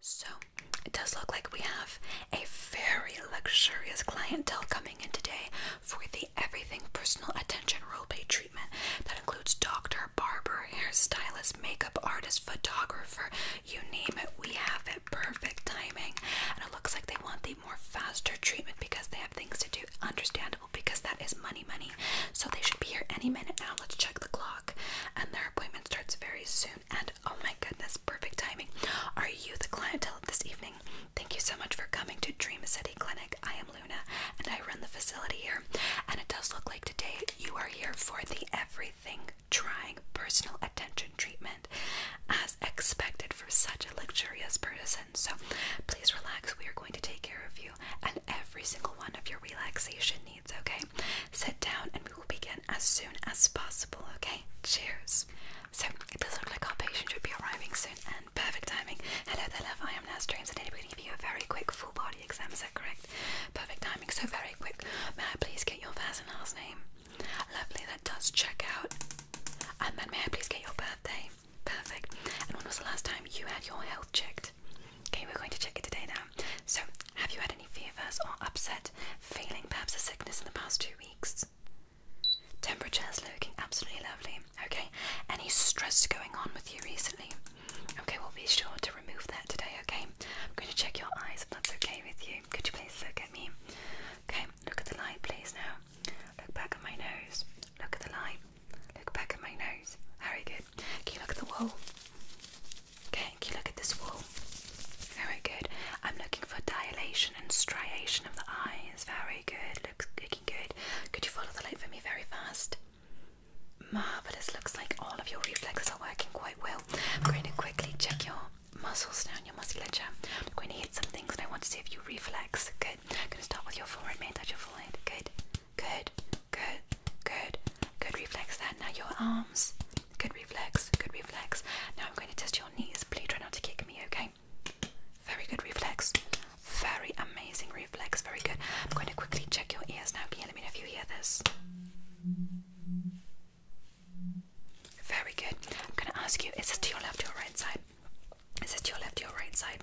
So, it does look like we have a very luxurious clientele coming in today for the Everything Personal Attention Role Play treatment that includes doctor, barber, hairstylist, makeup artist, photographer you name it, we have it. Perfect timing. And it looks like they want the more faster treatment because they have things to do. Understandable because that is money, money. So, they should be here any minute now. Let's check the clock. And their appointment starts very soon. And oh my goodness, perfect timing. Are you the clientele this evening? Thank you so much for coming to Dream City Clinic. I am Luna and I run the facility here. And it does look like today you are here for the everything trying personal attention treatment as expected for such a luxurious person. So please relax. We are going to take care of you and every single one of your relaxation needs. It's okay? Sit down and we will begin as soon as possible, okay? Cheers. So, it does look like our patient should be arriving soon and perfect timing. Hello there, love. I am Nurse James and anybody give you a very quick full body exam, is that correct? Perfect timing, so very quick. May I please get your first and last name? Lovely, that does check out. And then may I please get your birthday? Perfect. And when was the last time you had your health checked? Okay, we're going to check it today now. So, have you had any fevers or upset feeling, perhaps a sickness in the past two weeks? Temperature's looking absolutely lovely. Okay, any stress going on with you recently? Okay, we'll be sure to remove that today. Okay, I'm going to check your eyes if that's okay with you. Could you please look at me? Okay, look at the light, please. Now, look back at my nose. Look at the light. Look back at my nose. Very good. Can you look at the wall? Okay, you look at this wall? Very good. I'm looking for dilation and striation of the eyes. Very good. Looks looking good. Could you follow the light for me very fast? Marvelous. Looks like all of your reflexes are working quite well. I'm going to quickly check your muscles down your musculature. I'm going to hit some things and I want to see if you reflex. Good. I'm going to start with your forehead. May touch your forehead? Good. Good. Good. Good. Good reflex that. Now your arms. Good reflex, good reflex. Now I'm going to test your knees. Please try not to kick me, okay? Very good reflex. Very amazing reflex. Very good. I'm going to quickly check your ears now. Can you let me if you hear this? Very good. I'm going to ask you is this to your left or your right side? Is this to your left or your right side?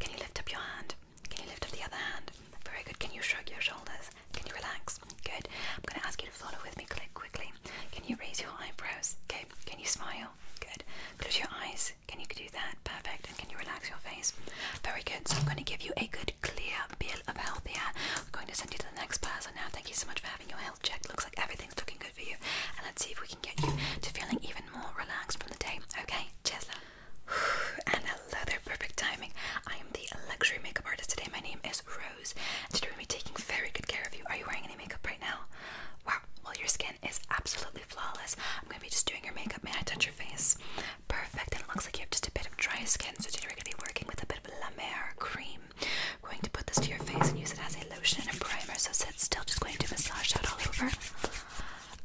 Can you lift up your hand? Can you lift up the other hand? Very good. Can you shrug your shoulders? Can you relax? Good. I'm going to ask you to follow with me quickly. Can you raise your eyebrows? Okay. Can you smile? Good. Close your eyes. Can you do that? Perfect. And can you relax your face? Very good. So I'm going to give you a good clear bill of health here. I'm going to send you to the next person now. Thank you so much for having your health check. Looks like everything's looking good for you. And let's see if we can get you to feeling even more relaxed from the day. Okay. Cheers. And hello there. Perfect timing. I am the luxury makeup artist today. My name is Rose today we're going to be taking very good care of you. Are you wearing any makeup right now? Wow, well your skin is absolutely flawless. I'm going to be just doing your makeup. May I touch your face? Perfect, and it looks like you have just a bit of dry skin so today we're going to be working with a bit of La Mer cream. going to put this to your face and use it as a lotion and a primer so sit still. Just going to massage that all over.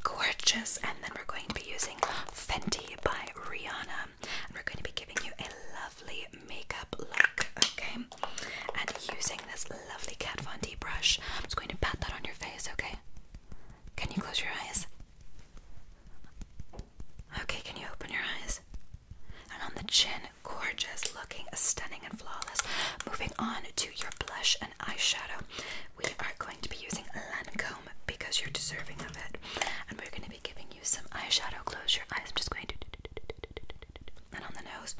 Gorgeous, and then we're going to be using Fenty by Rihanna we're going to be giving you a lovely makeup look, okay? And using this lovely Kat Von D brush, I'm just going to pat that on your face, okay? Can you close your eyes? Okay, can you open your eyes? And on the chin, gorgeous, looking stunning and flawless. Moving on to your blush and eyeshadow, we are going to be using Lancome because you're deserving of it. And we're going to to be giving you some eyeshadow. Close your eyes. I'm just going to. And on the nose.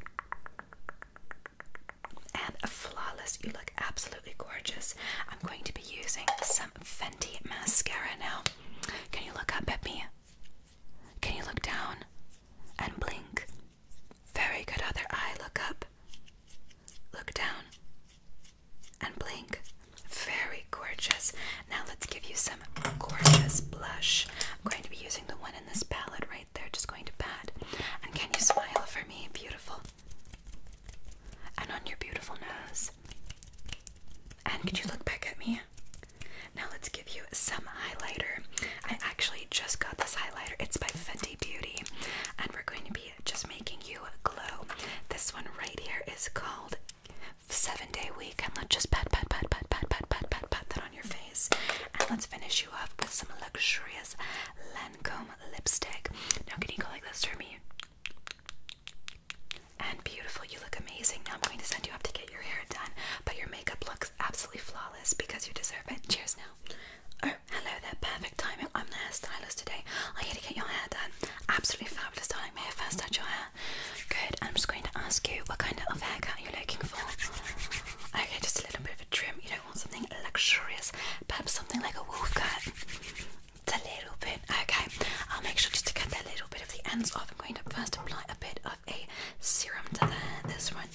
And flawless. You look absolutely gorgeous. I'm going to be using some Fenty mascara now. Can you look up at me? Can you look down and blink? Very good. Other eye. Look up. Look down and blink. Very gorgeous. Now let's give you some gorgeous blush. I'm going to be using the one in this palette right there. Just going to pat. And can you smile for me? Beautiful. And on your beautiful nose. And can you look back at me? Now let's give you some highlighter. I actually just got this highlighter. It's by Fenty Beauty. And we're going to be just making you glow. This one right here is called seven day week and let's just pat, pat, pat, pat, pat, pat, pat, pat, pat that on your face. And let's finish you off with some luxurious Lancome lipstick. Now, can you go like this for me? And beautiful, you look amazing. Now, I'm going to send you up to get your hair done, but your makeup looks absolutely flawless because you deserve it. Cheers now. Oh, hello there, perfect timing. I'm the hairstylist today. I need to get your hair done. Absolutely fabulous, darling. May I first touch your hair? Good. I'm just going to ask you what kind of haircut you're looking for. Okay, just a little bit of a trim. You don't want something luxurious, perhaps something like a wolf cut. It's a little bit. Okay, I'll make sure just to cut that little bit of the ends off. I'm going to first apply a bit of a serum to there. This one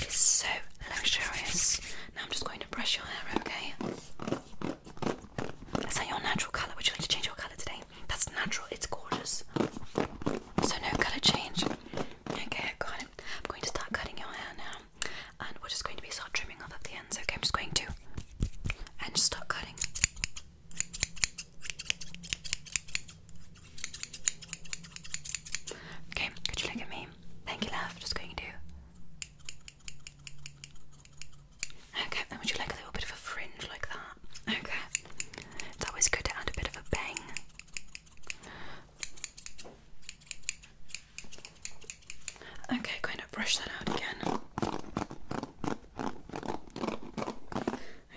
is so luxurious. Now I'm just going to brush your hair. Okay. Is that your natural colour? Would you like to change your colour today? That's natural, it's gorgeous. So, no colour change. Okay, i am going to start cutting your hair now. And we're just going to be start trimming off at the ends. Okay, I'm just going to. And start cutting. Okay, could you look at me? Thank you, love. Just going to. Okay, then would you like a little bit of a fringe like that? Okay. It's always good to add a bit of a bang. Okay, going to brush that out again.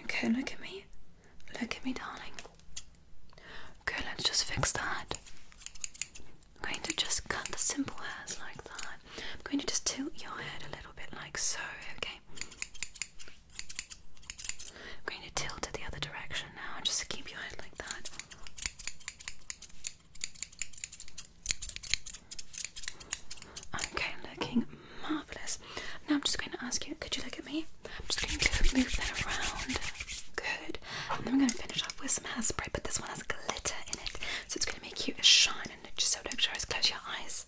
Okay, look at me. Look at me, darling. Okay, let's just fix that. I'm going to just cut the simple hairs like that. I'm going to just tilt your head a little bit like so, okay? I'm going to tilt it the other direction now just keep your head like that. Okay, looking marvellous. Now I'm just going to ask you, could you look at me? I'm just going to move that around. Good. And then I'm going to finish off with some hairspray, but this one has glitter in it, so it's going to make you shine. And just so luxurious. close your eyes.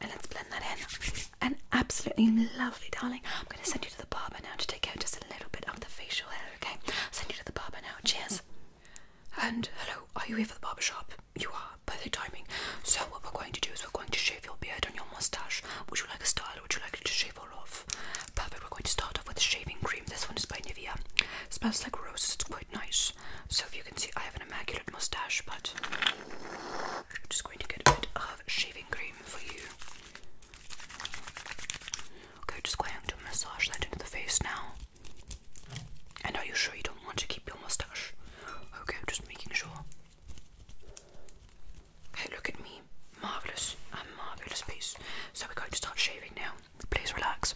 And let's blend that in. And absolutely lovely, darling. I'm going to send you to the barber now to take out just a little bit of the facial hair, okay? send you to the barber now. Cheers. And hello, are you here for the barber shop? You are, perfect timing. So what we're going to do is we're going to shave your beard and your mustache. Would you like a style or would you like to shave all off? Perfect, we're going to start off with shaving cream. This one is by Nivea. It smells like roses, it's quite nice. So if you can see, I have an immaculate moustache, but I'm just going to get a bit of shaving cream for you. Okay, just going to massage that into the face now. And are you sure you don't want to keep your moustache? Okay, I'm just making sure. Hey, look at me. Marvelous. A marvelous piece. So we're going to start shaving now. Please relax.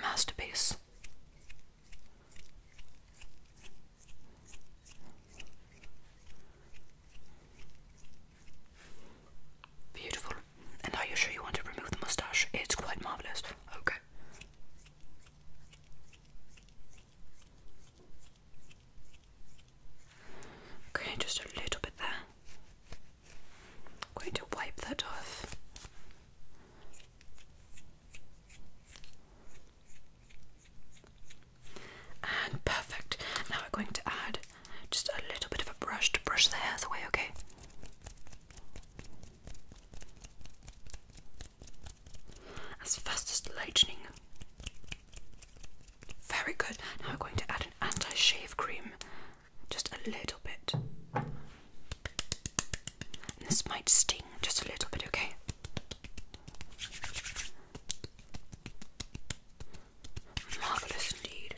Masterpiece. Beautiful. And are you sure you want to remove the mustache? It's quite marvelous. Okay. Okay, just a little bit there. I'm going to wipe that off. And perfect. Now we're going to add just a little bit of a brush to brush the hairs away, okay? as fast as lightning. Very good. Now we're going to add an anti shave cream, just a little bit. this might sting just a little bit, okay? Marvelous indeed.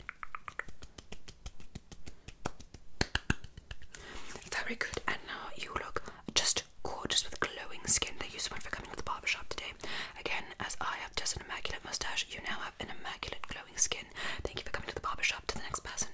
Very good, and now you look just gorgeous with glowing skin. Thank you so much for coming to the barber shop today. Again, as I have just an immaculate mustache, you now have an immaculate glowing skin. Thank you for coming to the barber shop. To the next person.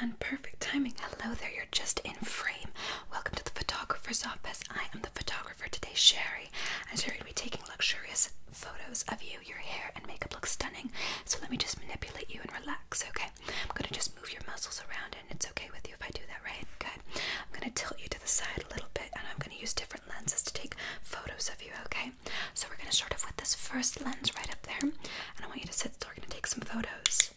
And perfect timing. Hello there, you're just in frame. Welcome to the photographer's office. I am the photographer today, Sherry. And Sherry will be taking luxurious photos of you. Your hair and makeup look stunning. So let me just manipulate you and relax, okay? I'm gonna just move your muscles around and it's okay with you if I do that, right? Good. I'm going to tilt you to the side a little bit and I'm going to use different lenses to take photos of you, okay? So we're going to start off with this first lens right up there and I want you to sit still. We're going to take some photos.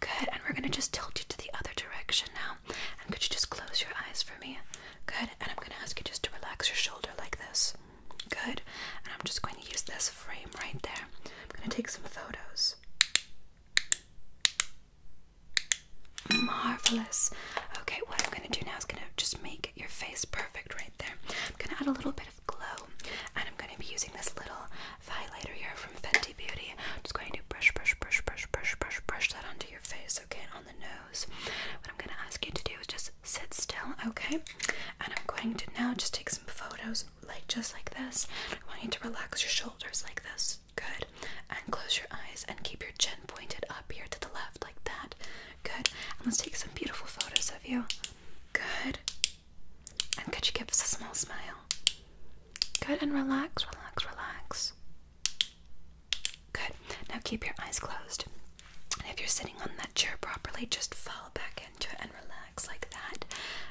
Good. And we're going to just tilt you to the other direction now. And could you just close your eyes for me? Good. And I'm going to ask you just to relax your shoulder like this. Good. And I'm just going to use this frame right there. I'm going to take some photos. Marvelous. Okay, what I'm gonna do now is gonna just make your face perfect right there. I'm gonna add a little bit of glow, and I'm gonna be using this little highlighter here from Fenty Beauty. i just going to brush, brush, brush, brush, brush, brush, brush that onto your face, okay, on the nose. What I'm gonna ask you to do is just sit still, okay? And I'm going to now just take some photos like just like this. I want you to relax your shoulders like this. Good. And close your eyes and keep your chin pointed up here to the left like that. Good. And let's take some beautiful photos of you. Good. And could you give us a small smile? Good. And relax, relax, relax. Good. Now keep your eyes closed. And if you're sitting on that chair properly, just fall back into it and relax like that.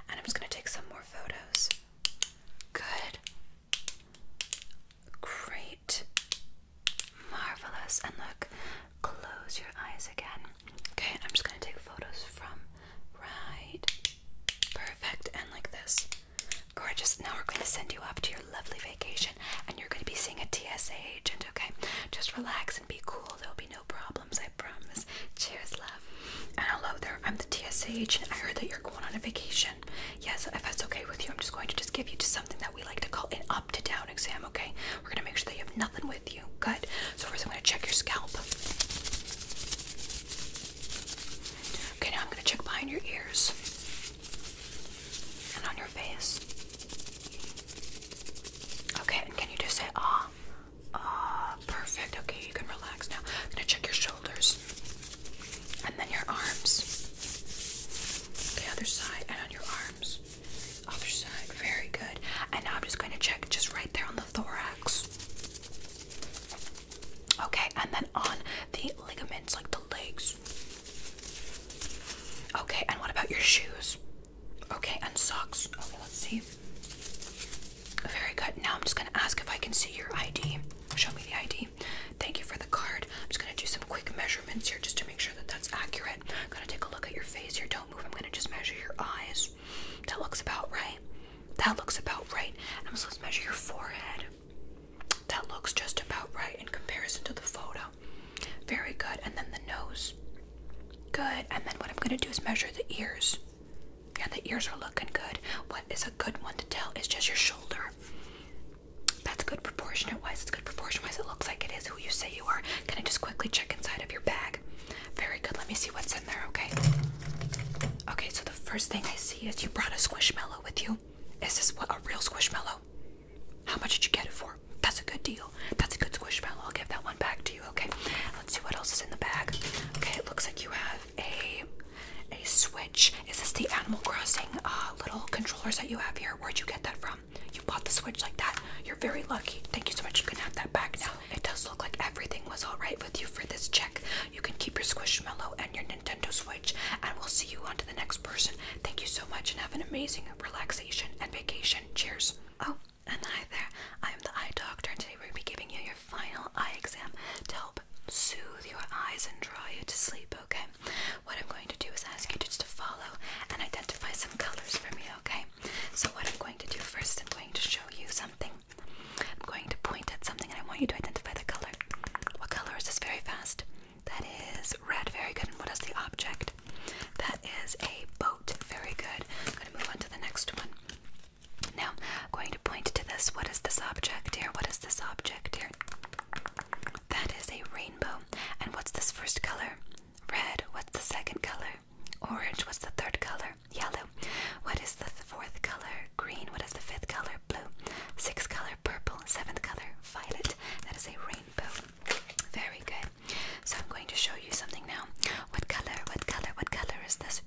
And I'm just going to take some more photos. Good. Great. Marvelous. And look, close your eyes again. Okay, I'm just going to take photos from right. Perfect. And like this. Gorgeous. Now we're going to send you off to your lovely vacation and you're going to be seeing a TSA agent, okay? Just relax and be cool. There'll be no problems. I promise. Cheers, love. And hello there, I'm the TSH, and I heard that you're going on a vacation. Yes, if that's okay with you, I'm just going to just give you just something that we like to call an up to down exam, okay? We're gonna make sure that you have nothing with you. Good. So first I'm gonna check your scalp. Okay, now I'm gonna check behind your ears and on your face. Okay, and can you just say ah? Uh, perfect. Okay, you can relax now. I'm gonna check your shoulders and then your arms. Okay, other side and on your arms. Other side. Very good. And now I'm just going to check just right there on the thorax. Okay, and then on the ligaments, like the legs. Okay, and what about your shoes? Okay, and socks. Okay, let's see. Very good. Now I'm just going to ask if I can see your ID. Show me the ID. Thank you for the card. I'm just going to do some quick measurements here just to make sure that that's accurate. I'm going to take a look at your face here. Don't move. I'm going to just measure your eyes. That looks about right. That looks about right. I'm just going to measure your forehead. That looks just about right in comparison to the photo. Very good. And then the nose. Good. And then what I'm going to do is measure the ears. Yeah, the ears are looking good. What is a good one to tell is just your shoulder. That's good proportionate wise. It's good proportion wise. It looks like it is who you say you are. Can I just quickly check inside of your bag? Very good. Let me see what's in there, okay? Okay, so the first thing I see is you brought a squishmallow with you. Is this what a real squishmallow? How much did you get it for? That's a good deal. That's a good squishmallow. I'll give that one back to you. Okay, let's see what else is in the bag. Okay, it looks like you have a a Switch. Is this the Animal Crossing uh, little controllers that you have here? Where'd you get that from? You bought the Switch like that? You're very lucky. Thank you so much. You can have that back now. It does look like everything was all right with you for this check. You can keep your Squishmallow and your Nintendo Switch, and we'll see you on to the next person. Thank you so much, and have an amazing relaxation and vacation. Cheers. Oh, and hi there, I am the eye doctor, and today we're going to be giving you your final eye exam to help soothe your eyes and draw you to sleep, okay? What I'm going to do is ask you just to follow and identify some colors for me, okay? So, what I'm going to do first, I'm going to show you something. I'm going to point at something, and I want you to identify the color. What color is this very fast? That is red, very good. And what is the object? That is a boat, very good. I'm going to move on to the next one. Now, I'm going to point to this. What is this object here? What is this object here? That is a rainbow. And what's this first color? Red. What's the second color? Orange. What's the third color? Yellow. What is the fourth color? Green. What is the fifth color? Blue. Sixth color? Purple. Seventh color? Violet. That is a rainbow. Very good. So I'm going to show you something now. What color? What color? What color is this?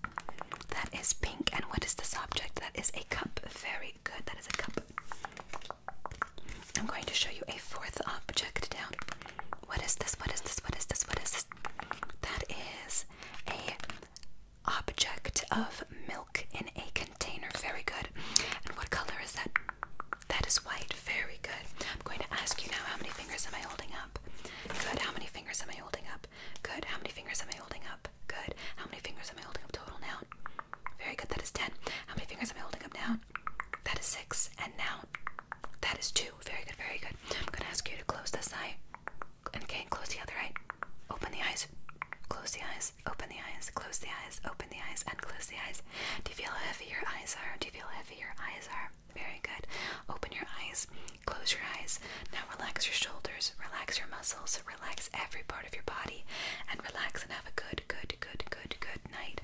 That is pink. And what is this object? That is a cup. Very good. That is a cup. I'm going to show you a fourth object down. What is this? What is this? What is this? What is this? That is a object of milk in a container. Very good. And what color is that? That is white. Very good. I'm going to ask you now how many fingers am I holding up? Good. How many fingers am I holding up? Good. How many fingers am I holding up? Good. How many fingers am I holding up total now? Very good. That is 10. How many fingers am I holding up now? That is 6. And now that is 2. Very good. Very good. I'm going to ask you to close this eye. Okay, close the other eye. Open the eyes. Close the eyes. Open the eyes. Close the eyes. Open the eyes and close the eyes. Do you feel heavy your eyes are? Do you feel heavy your eyes are? Very good. Open your eyes. Close your eyes. Now relax your shoulders, relax your muscles, relax every part of your body, and relax and have a good, good, good, good, good night.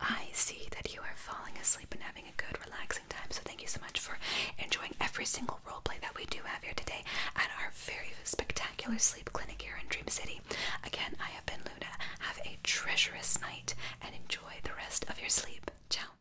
I see that you are falling asleep and having a good, relaxing time. So thank you so much for enjoying every single role play that we do have here today at our very spectacular sleep clinic here in Dream City. Again, I have been Luna. Have a treasured night and enjoy the rest of your sleep. Ciao.